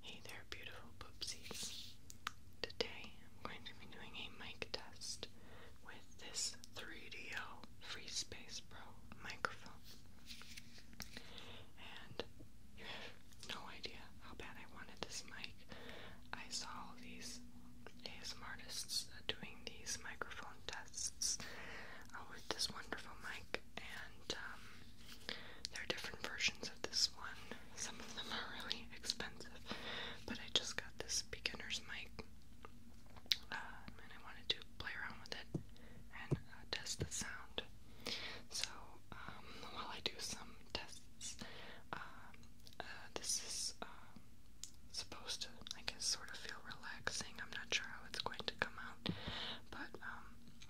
Hey there, beautiful poopsies. Today I'm going to be doing a mic test with this 3DO FreeSpace Pro microphone. And you have no idea how bad I wanted this mic. I saw these ASM artists uh, doing these microphone tests uh, with this wonderful mic and um, there are different versions of this one. Some of them are really expensive, but I just got this beginner's mic uh, and I wanted to play around with it and uh, test the sound. So, um, while I do some tests, um, uh, this is supposed to, I guess, sort of feel relaxing. I'm not sure how it's going to come out, but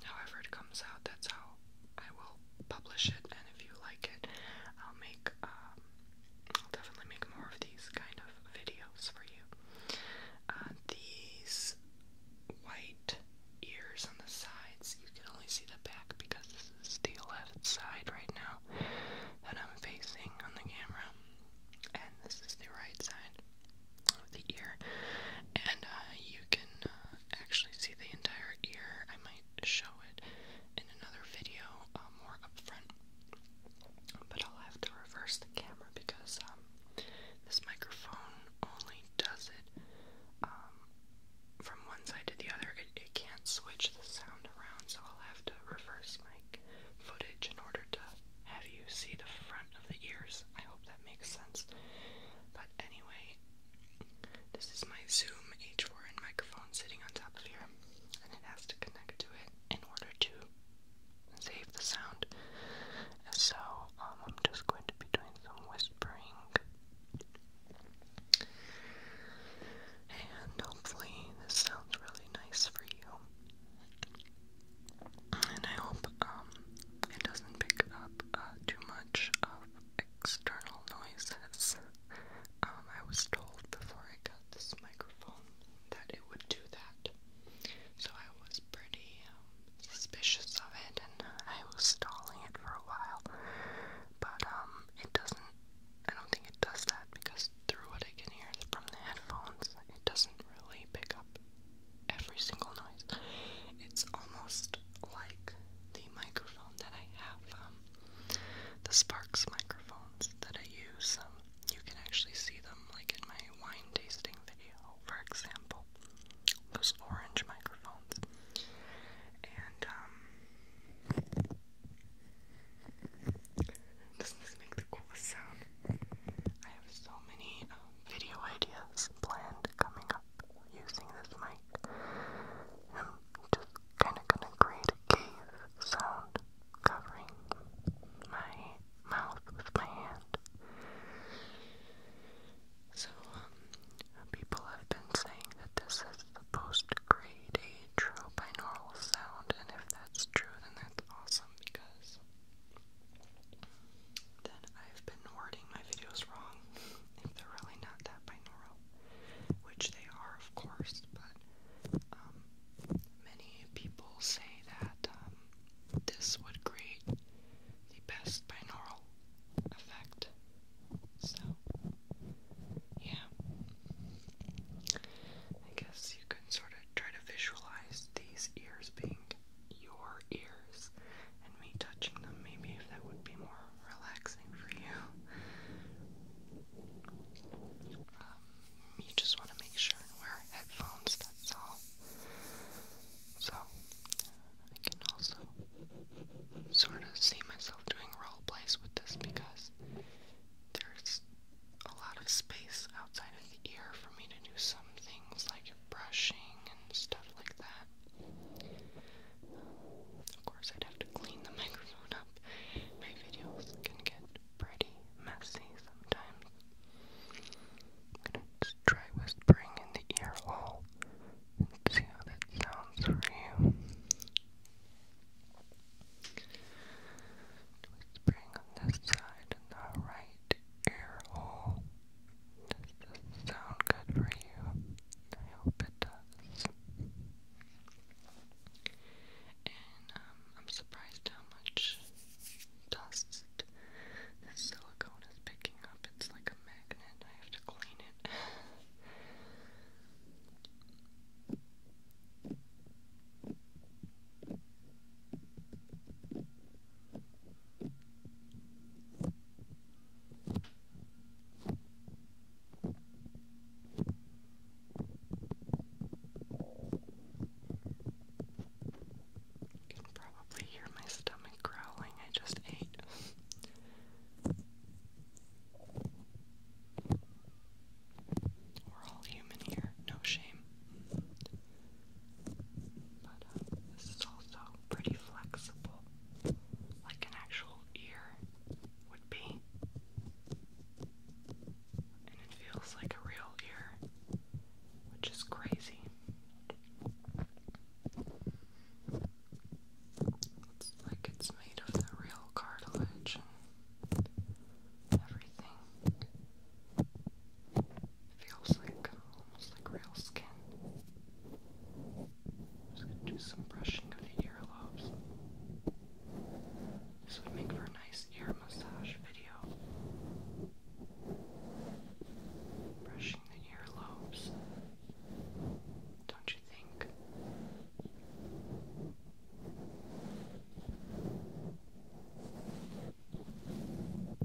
however it comes out, that's how I will publish it. And if you like it, I'll make, um, I'll definitely make more of these kind of videos for you. Uh, these white ears on the sides, you can only see the back because this is the left side right now and I'm facing on the camera, and this is the right side the ear, and uh, you can uh, actually see the entire ear. I might show it in another video uh, more up front, but I'll have to reverse the camera because um, this microphone only does it um, from one side to the other. it can't switch the sound around, so I'll have to reverse my footage in order to have you see the front of the ears. I hope that makes sense. But anyway, this is my Zoom H4n microphone sitting on top of here, and it has to connect to it in order to save the sound. So um, I'm just going to be doing some whispering. And hopefully, this sounds really nice for you and I hope um, it doesn't pick up uh, too much of external noises. Um, I was told before I got this microphone that it would do that, so I was pretty um, suspicious of it, and I was stalling it for a while. But it doesn't. I don't think it does that because through what I can hear from the headphones, it doesn't really pick up every single noise. It's almost like the microphone that I have, um, the Sparks microphones that I use. Um, you can actually see them, like in my wine tasting video, for example. Those orange microphones. And, um, doesn't this make the coolest sound? I have so many video ideas planned coming using this mic. I'm just kind of gonna create a cave sound covering my mouth with my hand. So, um, people have been saying that this is supposed to create a true binaural sound, and if that's true, then that's awesome because then I've been wording my videos wrong. if they're really not that binaural, which they are, of course, but um, many people say that um, this would create the best binaural effect. So, yeah. I guess you can sort of try to visualize these ears being your ears and me touching them, maybe if that would be more relaxing for you. Um, you just want to make sure and wear headphones, that's all. So, I can also sort of see myself doing role plays with this because there's a lot of space outside of the ear for me to do some things like brushing and stuff like that. of course, I'd have to clean the microphone up. My videos can get pretty messy sometimes. I'm gonna try whispering in the ear hole and see how that sounds for you. Whispering on this side in the right ear hole. Does this sound good for you? I hope it does. And um, I'm surprised how much dust silicone is picking up. It's like a magnet. I have to clean it. You can probably hear my stomach growling. I just ate. We're all human here. No shame. But uh, this is also pretty flexible, like an actual ear would be. And it feels like a real ear, which is crazy. It's like it's made of the real cartilage everything. Feels like almost like real skin. just gonna do some brushing of the earlobes. This would make for a nice ear massage video. Brushing the earlobes. Don't you think?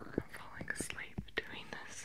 I'm falling asleep doing this.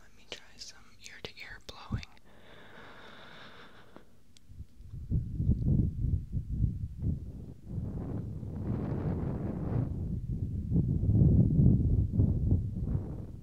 Let me try some ear to ear blowing.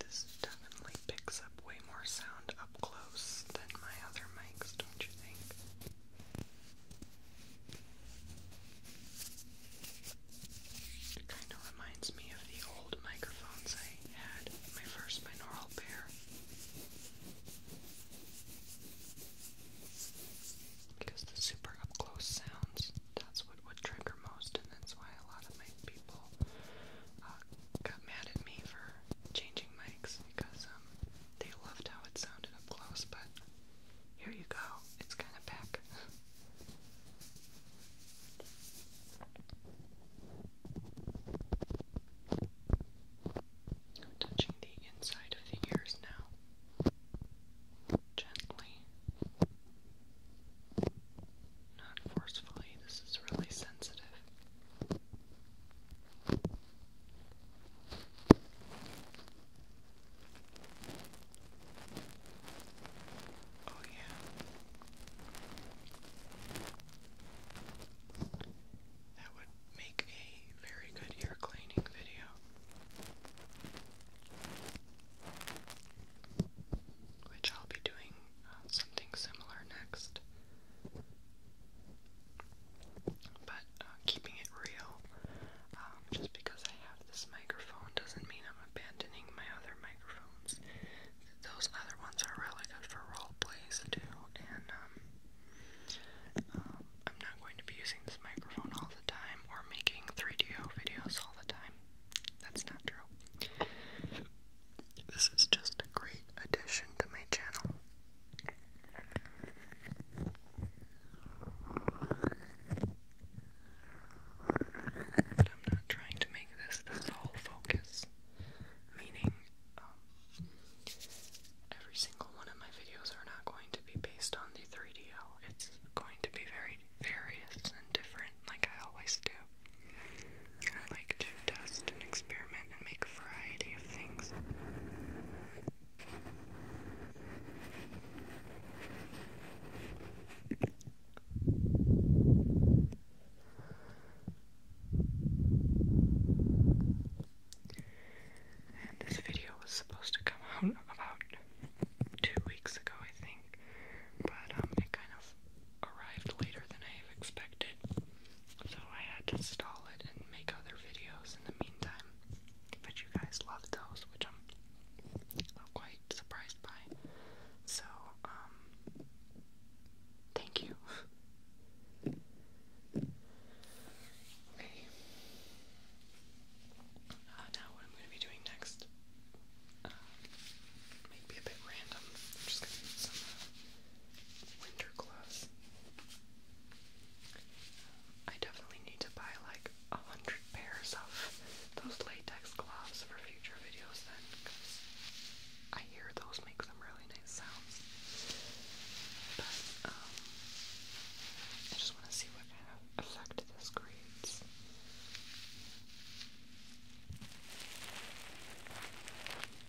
this definitely picks up way more sound up close than my other mics, don't you think? It kind of reminds me of the old microphones I had, my first binaural pair. Because the super up close sounds, that's what would trigger most, and that's why a lot of my people uh, got mad at me for changing mics because um, they loved how it sounded up close, but here you go. It's kind of back. touching the inside of the ears now. Gently. Not forcefully. This is really sensitive. Oh, yeah. That would make a very good ear cleaning video. Which I'll be doing uh, something similar next. But uh, keeping it real, um, just because I have this microphone doesn't mean I'm abandoning my other microphones. Those other ones are really good for role plays too, and um, um, I'm not going to be using this microphone all the time or making 3DO videos all the time. That's not true. This is just a great addition to my channel. I'm not trying to make this the sole focus, meaning um, every single one of my videos are not going to be based on the 3DO. It's going to be very various and different, like I always do. I like to test and experiment and make a variety of things. this video was supposed to come out about two weeks ago, I think, but um, it kind of arrived later than I expected, so I had to stall it and make other videos in the meantime. But you guys loved those, which I'm quite surprised by. So, um, thank you. okay. Uh, now, what I'm going to be doing next uh, a bit random. I'm just going to use some uh, winter clothes. I definitely need to buy like a hundred pairs of those latex gloves for future videos then, because I hear those make some really nice sounds. But, um, I just want to see what kind of effect this creates.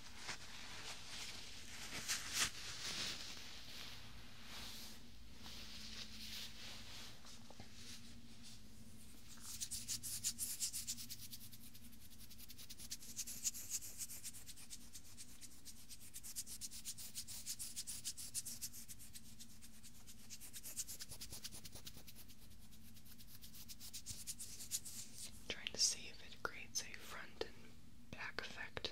I'm trying to see if it creates a front back effect.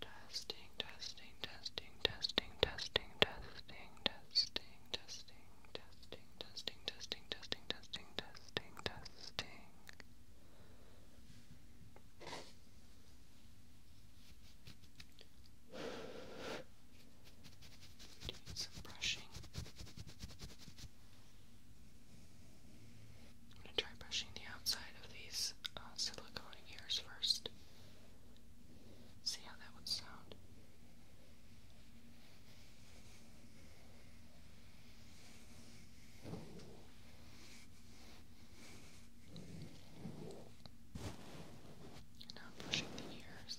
Testing, testing, testing, testing, testing, testing, testing testing, testing, testing, testing, testing, testing, testing, testing. Doing some brushing. I'm gonna try brushing the outside of these silicone ears first. See how that would sound. And now I'm pushing the ears.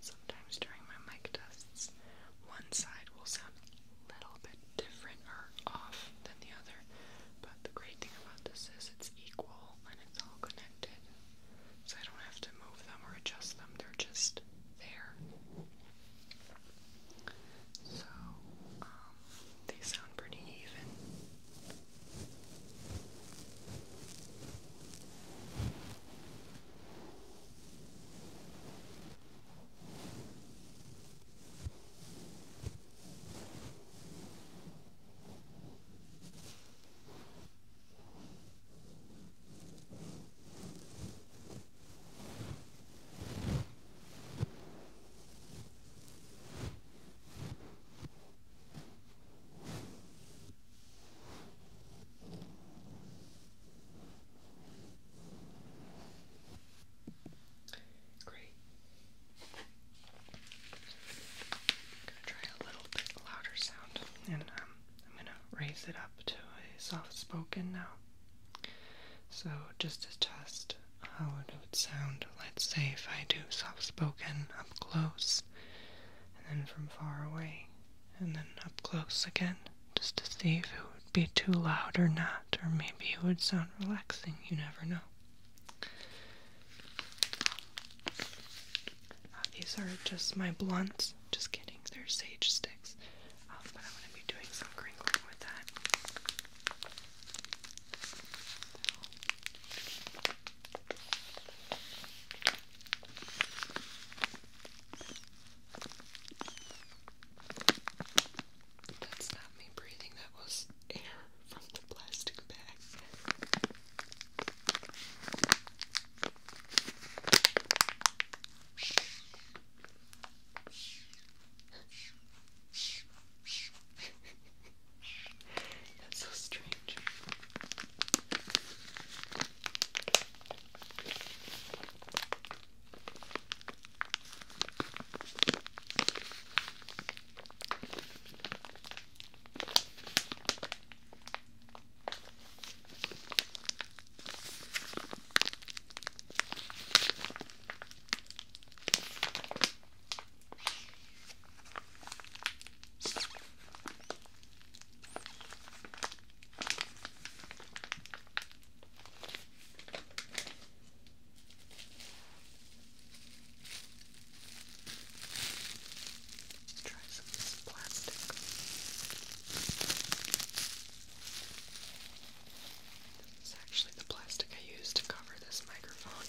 sometimes during my mic tests, one side will sound a little bit different or off than the other, but the great thing about this is it's equal and it's all connected. So I don't have to move them or adjust them, they're just there. So, um, they sound pretty even. Great. gonna try a little bit louder sound, and um, I'm gonna raise it up to a soft spoken now. So, just to test how it would sound, let's say if I do soft spoken up close, and then from far away, and then up close again, just to see if it would be too loud or not, or maybe it would sound relaxing, you never know. Ah, these are just my blunts. Just kidding, they're sage sticks. Um, I'm be doing some crinkling with that. That's not me breathing, that was air from the plastic bag. That's so strange. Try some of this plastic. It's actually the plastic I use to cover this microphone.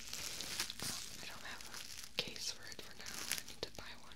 Um, I don't have a case for it for now. I need to buy one.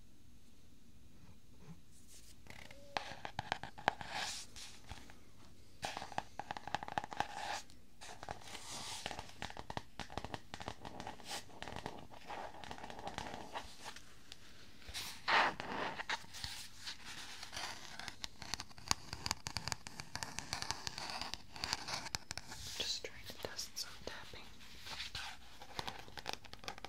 Just trying to dust some tapping.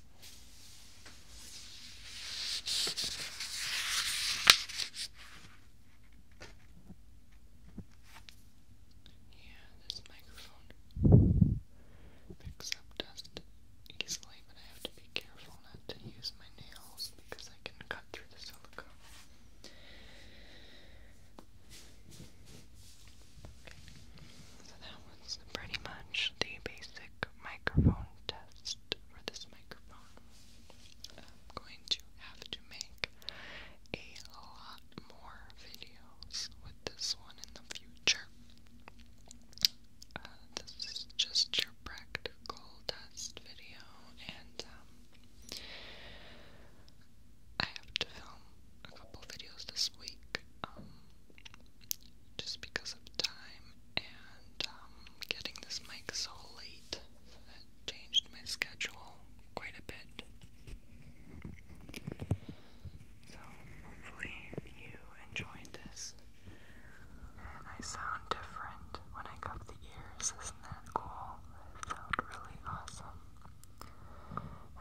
Yeah, this microphone picks up dust easily, but I have to be careful not to use my nails because I can cut through the silicone. So that was pretty much the basic microphone test for this microphone. I'm going to have to make a lot more videos with this one in the future. Uh, this is just your practical test video, and um, I have to film a couple videos this week. Um, just because of time and um, getting this mic so late. So changed my schedule quite a bit. So hopefully you enjoyed this. I sound different when I cup the ears, isn't that cool? It sounds really awesome.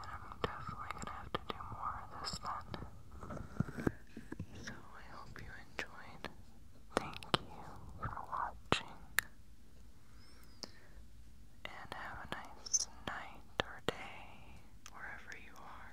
And I'm definitely gonna have to do more of this then. So I hope you enjoyed. Thank you for watching. And have a nice night or day, wherever you are.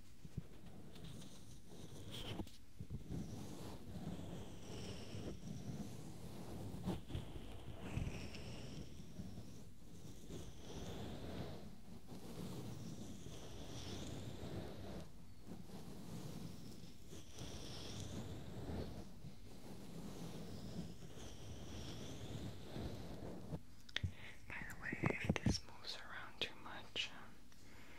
By the way, if this moves around too much, um,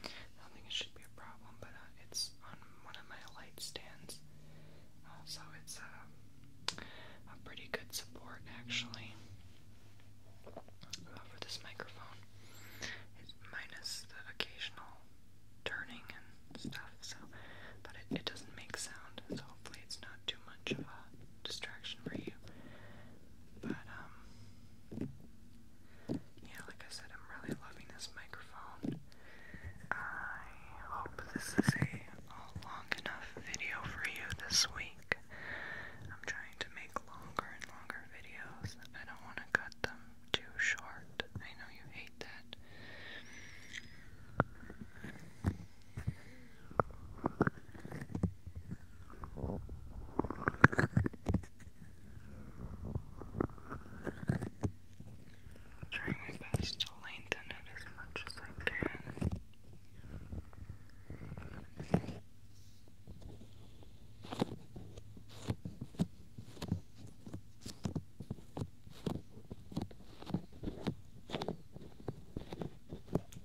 I don't think it should be a problem, but uh, it's on one of my light stands, uh, so it's uh, a pretty good support actually for this microphone. It's minus the occasional turning and stuff, so but it doesn't make sound, so hopefully it's not too much of a distraction for you. But um, yeah, like I said, I'm really loving this microphone. I hope this is a, long enough video for you this week. I'm trying to make longer and longer videos. I don't want to cut them too short. I know you hate that. Trying my best to lengthen it as much as I can.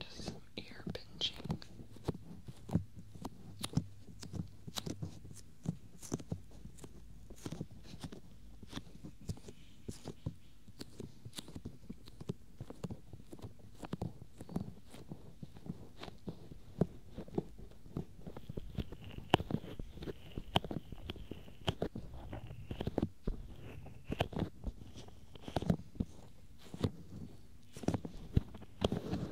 Just no ear pinching.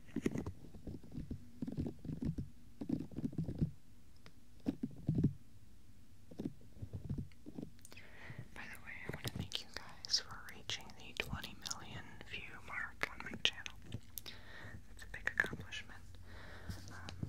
By the way, I want to thank you guys for reaching the 20 million view mark on my channel. It's a big accomplishment. Um,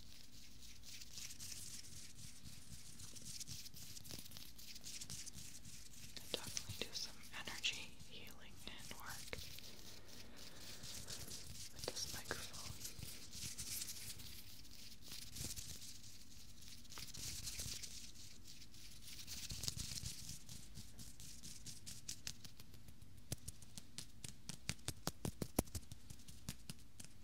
I'll definitely do some energy healing and work with this microphone.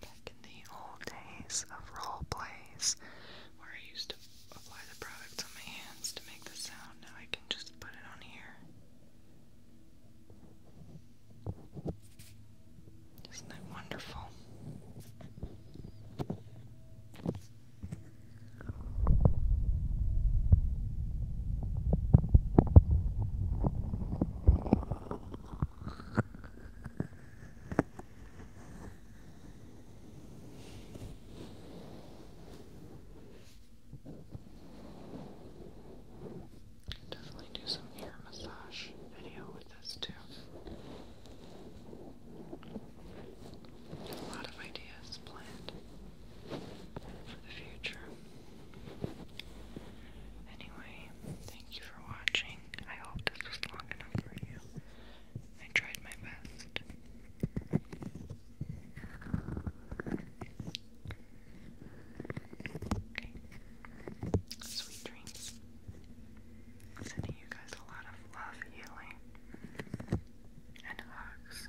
Back in the old days of role plays, where I used to apply the product on my hands to make the sound, now I can just put it on here. Isn't that wonderful? Definitely do some ear massage video with this too. A lot of ideas planned for the future. Anyway, thank you for watching. I hope this was long enough for you. I tried my best. Okay. Sweet dreams. Sending you guys a lot of love, healing, and hugs.